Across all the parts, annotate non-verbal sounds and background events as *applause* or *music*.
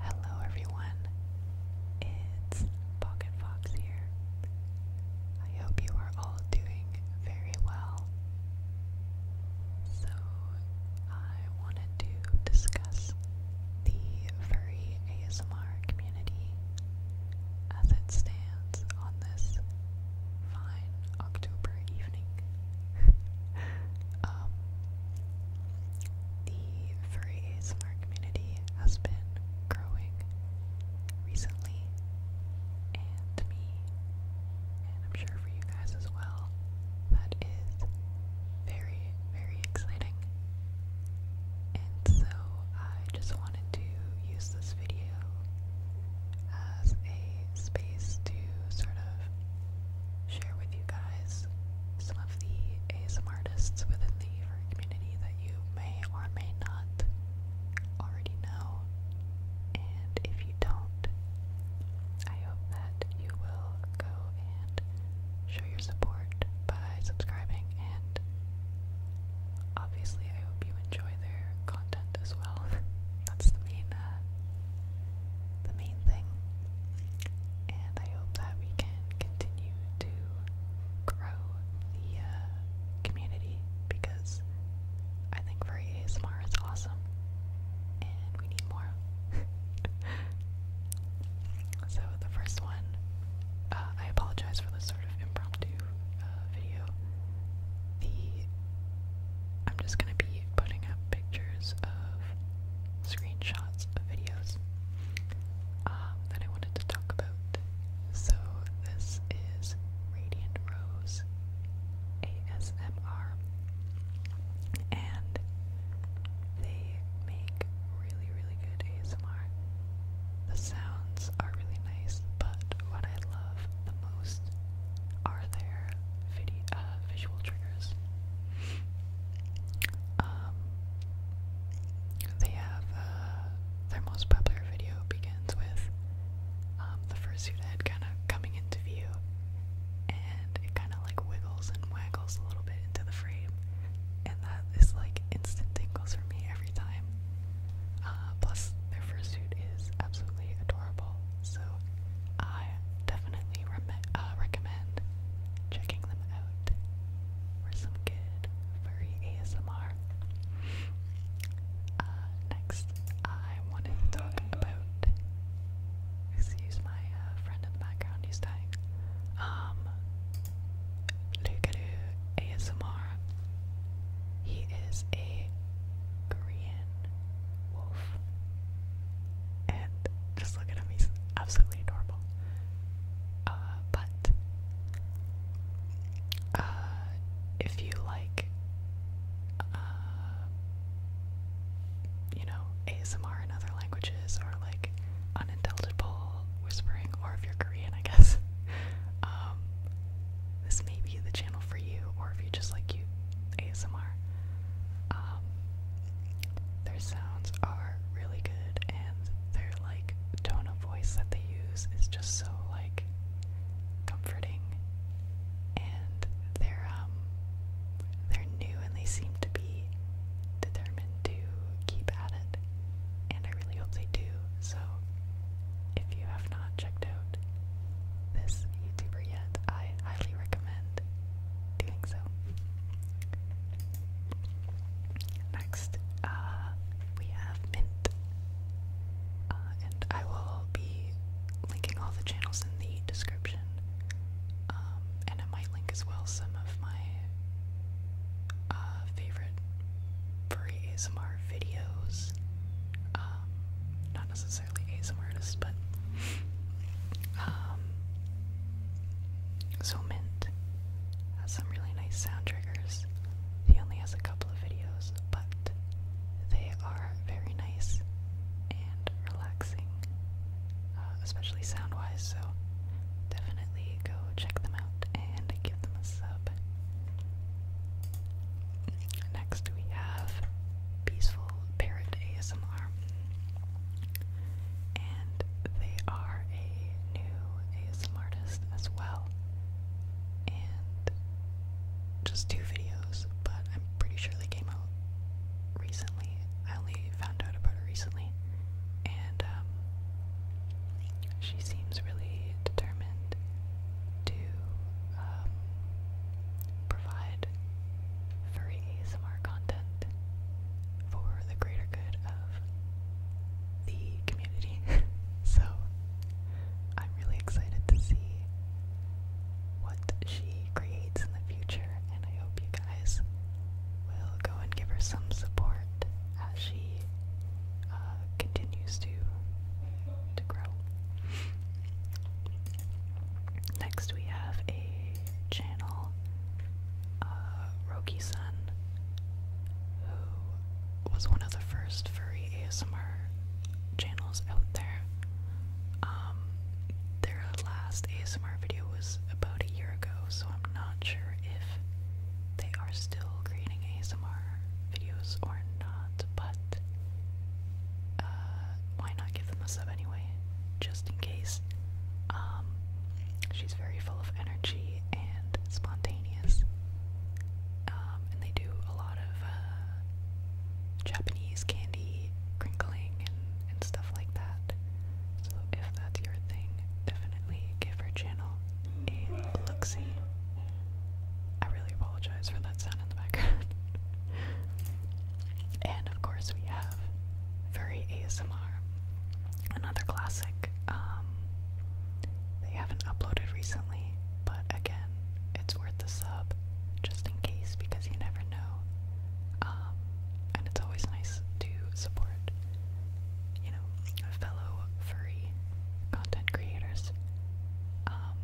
Hello everyone, it's Pocket Fox here. I hope you are all doing very well. So, I wanted to discuss the furry ASMR community as it stands on this fine October evening. *laughs* Um, the furry ASMR community has been growing recently, and me, and I'm sure for you guys as well. That is very, very exciting. And so I just wanted to use this video as a space to sort of share with you guys some of the ASM artists within the community that you may or may not already know. And if you don't, I hope that you will go and show your support by subscribing and obviously I hope you enjoy their content as well. *laughs* That's the main uh, the main thing. And I hope that we can continue to grow the uh, community because I think for ASMR is awesome and we need more. *laughs* so, the first one, uh, I apologize for this sort of impromptu uh, video. The I'm just gonna be be putting up pictures of screenshots of videos um, that I wanted to talk about. So this is Radiant Rose ASMR, and they make really, really good ASMR. The sounds are really nice, but what I love the most are there uh, visual triggers? Um, they have uh, their most popular video begins with um, the fursuit head kind of coming into view, and it kind of like wiggles and waggles a little bit into the frame, and that is like instant tingles for me every time. Uh, plus, their fursuit is absolutely adorable so I definitely re uh, recommend checking them out for some good furry ASMR. Uh, next, I wanted to talk about. Excuse my uh, friend in the background, he's dying. Um, Lukaru ASMR. He is a Korean Korean wolf. And just look at him, he's absolutely adorable. Uh, but uh, if you like, uh, you know, ASMR in other languages or like unintelligible whispering, or if you're Korean, I guess, *laughs* um, this may be the channel for you, or if you just like cute ASMR. Um, their sounds are really good, and their like tone of voice that they use is just so like comforting. And they're um, they're new, and they seem to be determined to keep at it. And I really hope they do. So if you have not checked out this YouTuber yet, I highly recommend doing so. Next, uh, we have Mint. Uh, and I will be linking all the channels in the description. Um, and I might link as well some of my uh, favorite free ASMR videos, um, not necessarily ASM artists, but um, so Mint has some really nice sound triggers. He only has a couple of videos, but they are very nice and relaxing, uh, especially sound wise. So definitely go check them out and give them a sub. Next, we have Peaceful Parrot ASMR, and they are a new ASMR artist as well. And just two videos, but I'm pretty sure they came out recently. I only found out about it recently, and um, she seems really determined to um, provide furry ASMR content for the greater good of the community. *laughs* so I'm really excited to see what she creates in the future, and I hope you guys will go and give her some support as she uh, continues to to grow. Next, we have a channel, uh, Roki Sun, who was one of the first furry ASMR channels out there. Um, their last ASMR video was about a year ago, so I'm not sure if they are still creating ASMR videos or not, but uh, why not give them a sub anyway, just in case. Um, she's very full of energy and spontaneous, um, and they do a lot of uh, Japanese candy crinkling and stuff like that. So if that's your thing, definitely give her channel a look I really apologize for that sound in the background. *laughs* and of course we have Very ASMR, another classic. Um, they haven't uploaded recently, but again, it's worth the sub just in case because you never know. Um, and it's always nice to support you know, fellow furry content creators. Um,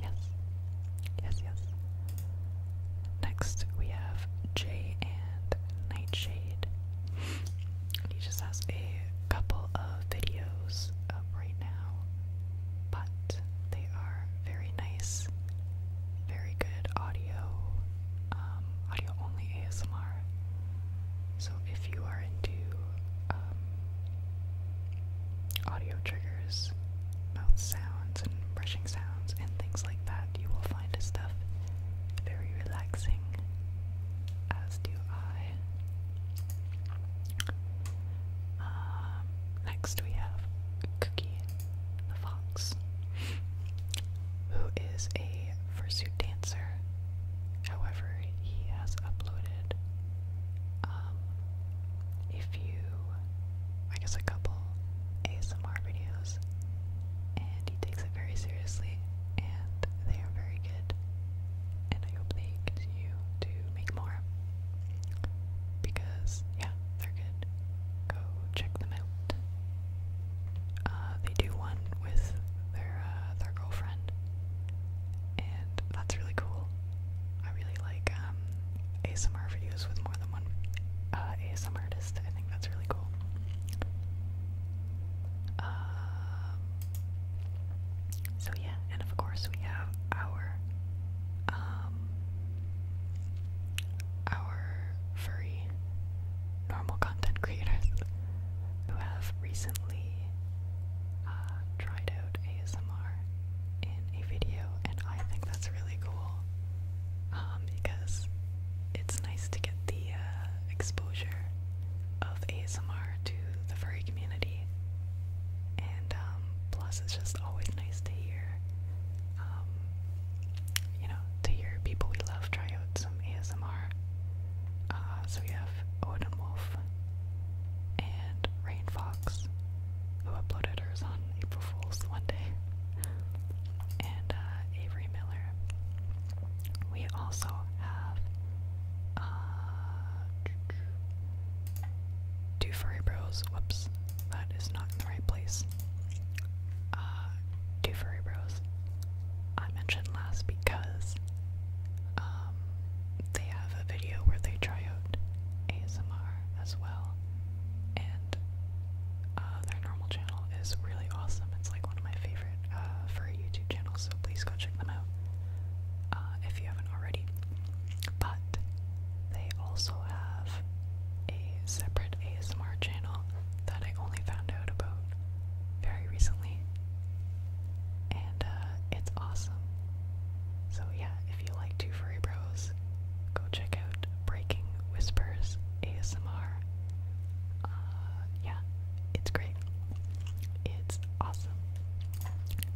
yes, yes, yes. Next, we have Jay and Nightshade. He just has a couple of videos up right now, but they are very nice, very good audio, um, audio only ASMR. So if you are into um, audio triggers, mouth sounds, and brushing sounds, and things like that, you will find this stuff very relaxing, as do I. Um, next we have Cookie the fox, who is a fursuit dancer. However, he has uploaded um, a few, I guess a couple ASMR videos, and he takes it very seriously, and they are very good. And I hope they continue to make more. Because, yeah, they're good. Go check them out uh, they do one with their uh, their girlfriend, and that's really cool. I really like um, ASMR videos with more than one uh, ASMR artist. I think that's really cool. Um, so yeah, and of course we have our um, our furry normal content creators who have recently uh, tried out ASMR in a video, and I think that's really cool um, because it's nice to get the uh, exposure of ASMR to the furry community, and um, plus, it's just always nice to hear um, you know, to hear people we love try out some ASMR. Uh, so we have Odin Wolf and Rain Fox, who uploaded hers on April Fool's one day, and uh, Avery Miller. We also have uh, Two Furry Bros, whoops, that is not in the right place. Uh, two furry bros. I mentioned last because um, they have a video where they try out ASMR as well, and uh, their normal channel is really awesome. It's like one of my favorite uh, furry YouTube channels, so please go check them out if you haven't already. But they also have a separate ASMR channel that I only found out about very recently. And uh, it's awesome. So, yeah, if you like Two Furry Bros, go check out Breaking Whispers ASMR. Uh, yeah, it's great. It's awesome.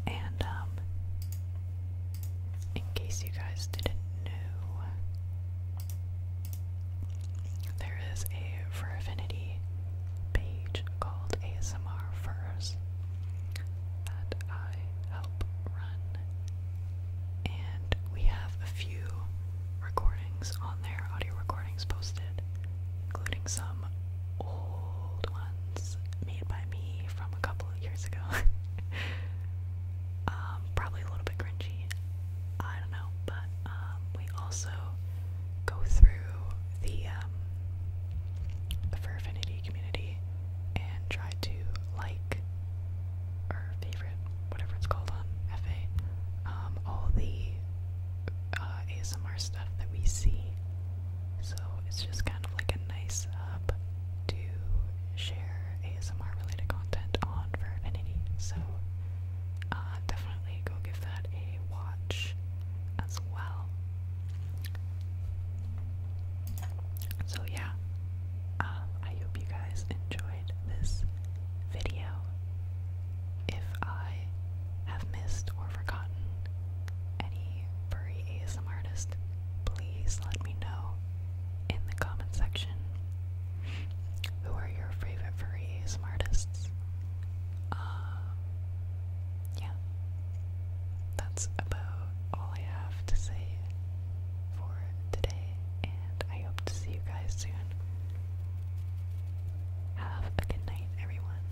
And, um, in case you guys didn't know, there is a Fur Affinity page called ASMR Furs that I help run, and we have a few recordings on there, audio recordings posted, including some old ones made by me from a couple years ago. *laughs* Um, probably a little bit cringy. I don't know, but um, we also go through the um, the Fur Affinity community and try to like or favorite, whatever it's called on FA, all the uh, ASMR stuff that we see so it's just kind of like a nice up to share ASMR related content on for Affinity. So uh, definitely go give that a watch as well. So yeah, um, I hope you guys enjoyed this video. If I have missed or forgotten any furry ASMR artist, please let me know in the comment section who are your favorite furry artists. Uh, yeah, that's about all I have to say for today, and I hope to see you guys soon. Have a good night, everyone.